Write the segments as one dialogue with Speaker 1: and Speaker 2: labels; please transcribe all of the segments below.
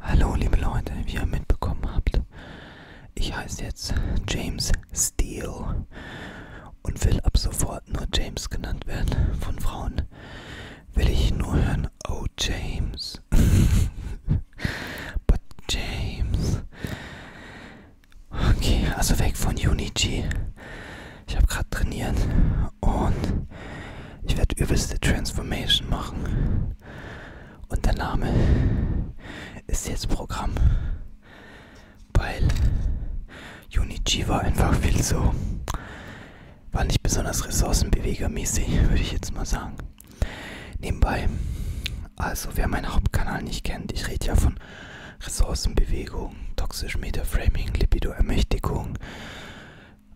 Speaker 1: Hallo liebe Leute, wie ihr mitbekommen habt, ich heiße jetzt James Steele und will ab sofort nur James genannt werden. Von Frauen will ich nur hören, oh James. But James. Okay, also weg von Unity. Ich habe gerade trainiert und ich werde übelste Transformation machen. Und der Name ist jetzt Programm, weil Junichi einfach viel so, war nicht besonders ressourcenbewegermäßig, würde ich jetzt mal sagen. Nebenbei, also wer meinen Hauptkanal nicht kennt, ich rede ja von Ressourcenbewegung, toxisch Metaframing, Libido-Ermächtigung,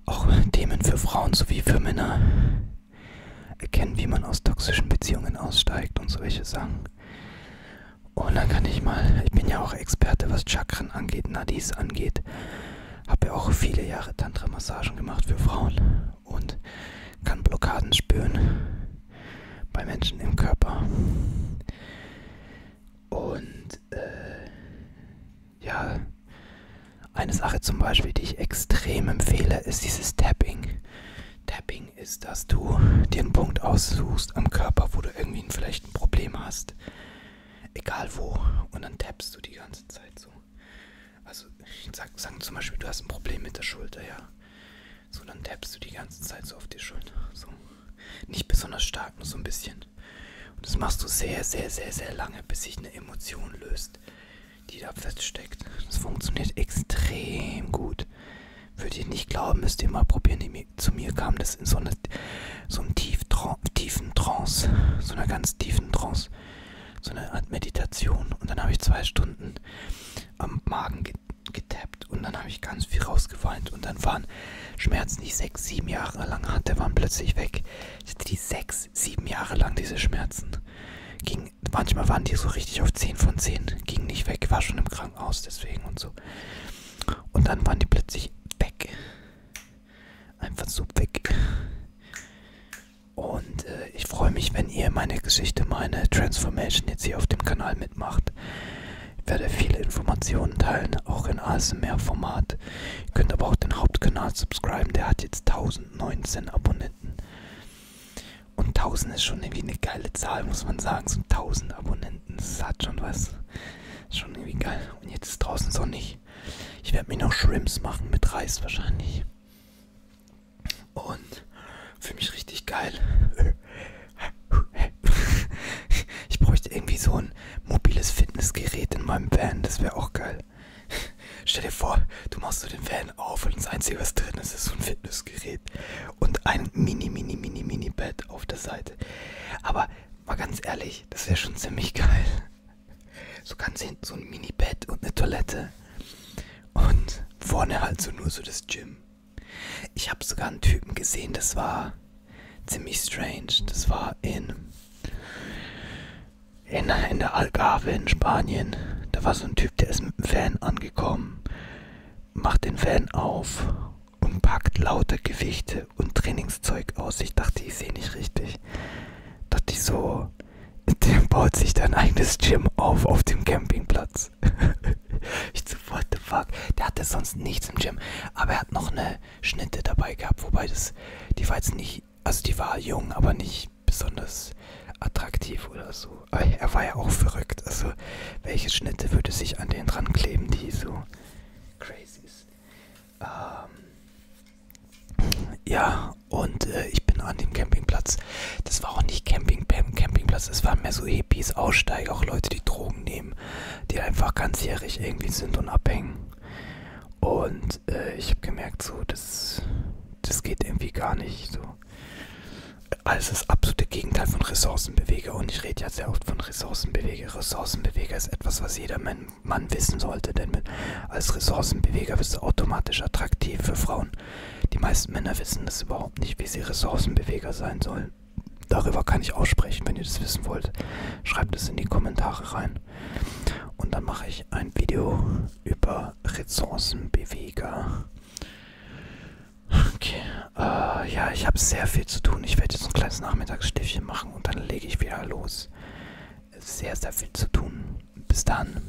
Speaker 1: auch Themen für Frauen sowie für Männer. Erkennen, wie man aus toxischen Beziehungen aussteigt und solche Sachen. Und dann kann ich mal, ich bin ja auch Experte, was Chakren angeht, Nadis angeht. Habe ja auch viele Jahre Tantra-Massagen gemacht für Frauen und kann Blockaden spüren bei Menschen im Körper. Und äh, ja, eine Sache zum Beispiel, die ich extrem empfehle, ist dieses Tapping. Tapping ist, dass du dir einen Punkt aussuchst am Körper, wo du irgendwie vielleicht ein Problem hast. Egal wo. Und dann tappst du die ganze Zeit so. Also, ich sag, sag zum Beispiel, du hast ein Problem mit der Schulter, ja. So, dann tappst du die ganze Zeit so auf die Schulter. So. Nicht besonders stark, nur so ein bisschen. Und das machst du sehr, sehr, sehr, sehr lange, bis sich eine Emotion löst, die da feststeckt. Das funktioniert extrem gut. Würde ihr nicht glauben, müsst ihr mal probieren. Zu mir kam das in so, eine, so einem tief, tiefen Trance, so einer ganz tiefen Trance, so eine Art Meditation. Und dann habe ich zwei Stunden am Magen getappt und dann habe ich ganz viel rausgeweint und dann waren Schmerzen, die ich sechs, sieben Jahre lang hatte, waren plötzlich weg. Ich hatte die sechs, sieben Jahre lang diese Schmerzen. Ging, manchmal waren die so richtig auf 10 von 10, ging nicht weg, war schon im Krankenhaus deswegen und so. Und dann waren die plötzlich weg. Einfach so weg. Und äh, ich freue mich, wenn ihr meine Geschichte, meine Transformation jetzt hier auf dem Kanal mitmacht. Ich werde viele Informationen teilen, auch in ASMR-Format. Ihr könnt aber auch den Hauptkanal subscriben, der hat jetzt 1019 Abonnenten. Und 1000 ist schon irgendwie eine geile Zahl, muss man sagen. So 1000 Abonnenten, das hat schon was. Schon irgendwie geil. Und jetzt ist draußen sonnig. Ich werde mir noch Shrimps machen mit Reis wahrscheinlich. Und für mich richtig geil. Ich bräuchte irgendwie so ein mobiles Fitnessgerät in meinem Van, das wäre auch geil. Stell dir vor, du machst so den Van auf und das Einzige, was drin ist, ist so ein Fitnessgerät und ein mini, mini, mini, mini Bett auf der Seite. Aber mal ganz ehrlich, das wäre schon ziemlich geil. So ganz hinten so ein Mini-Bett und eine Toilette. Und vorne halt so nur so das Gym. Ich habe sogar einen Typen gesehen, das war ziemlich strange. Das war in, in, in der Algarve in Spanien. Da war so ein Typ, der ist mit dem Van angekommen, macht den Van auf und packt lauter Gewichte und Trainingszeug aus. Ich dachte, ich sehe nicht richtig. Dachte ich so, der baut sich dann eigenes Gym auf auf dem Campingplatz krass. ich so, what the fuck? Der hatte sonst nichts im Gym. Aber er hat noch eine Schnitte dabei gehabt, wobei das, die war jetzt nicht, also die war jung, aber nicht besonders attraktiv oder so. Aber er war ja auch verrückt. Also, welche Schnitte würde sich an den dran kleben, die so crazy ist? Ähm, ja, und äh, ich bin an dem Campingplatz ist, das war auch nicht Camping, Campingplatz, es waren mehr so Hippies, Aussteiger, auch Leute, die Drogen nehmen, die einfach ganzjährig irgendwie sind und abhängen. Und äh, ich habe gemerkt, so, das, das geht irgendwie gar nicht. So. Also das absolute Gegenteil von Ressourcenbeweger. Und ich rede ja sehr oft von Ressourcenbeweger. Ressourcenbeweger ist etwas, was jeder Mann, Mann wissen sollte, denn mit, als Ressourcenbeweger bist du automatisch attraktiv für Frauen. Die meisten Männer wissen das überhaupt nicht, wie sie Ressourcenbeweger sein sollen. Darüber kann ich aussprechen, wenn ihr das wissen wollt. Schreibt es in die Kommentare rein. Und dann mache ich ein Video über Ressourcenbeweger. Okay, äh, ja, ich habe sehr viel zu tun. Ich werde jetzt ein kleines Nachmittagsstiftchen machen und dann lege ich wieder los. Sehr, sehr viel zu tun. Bis dann.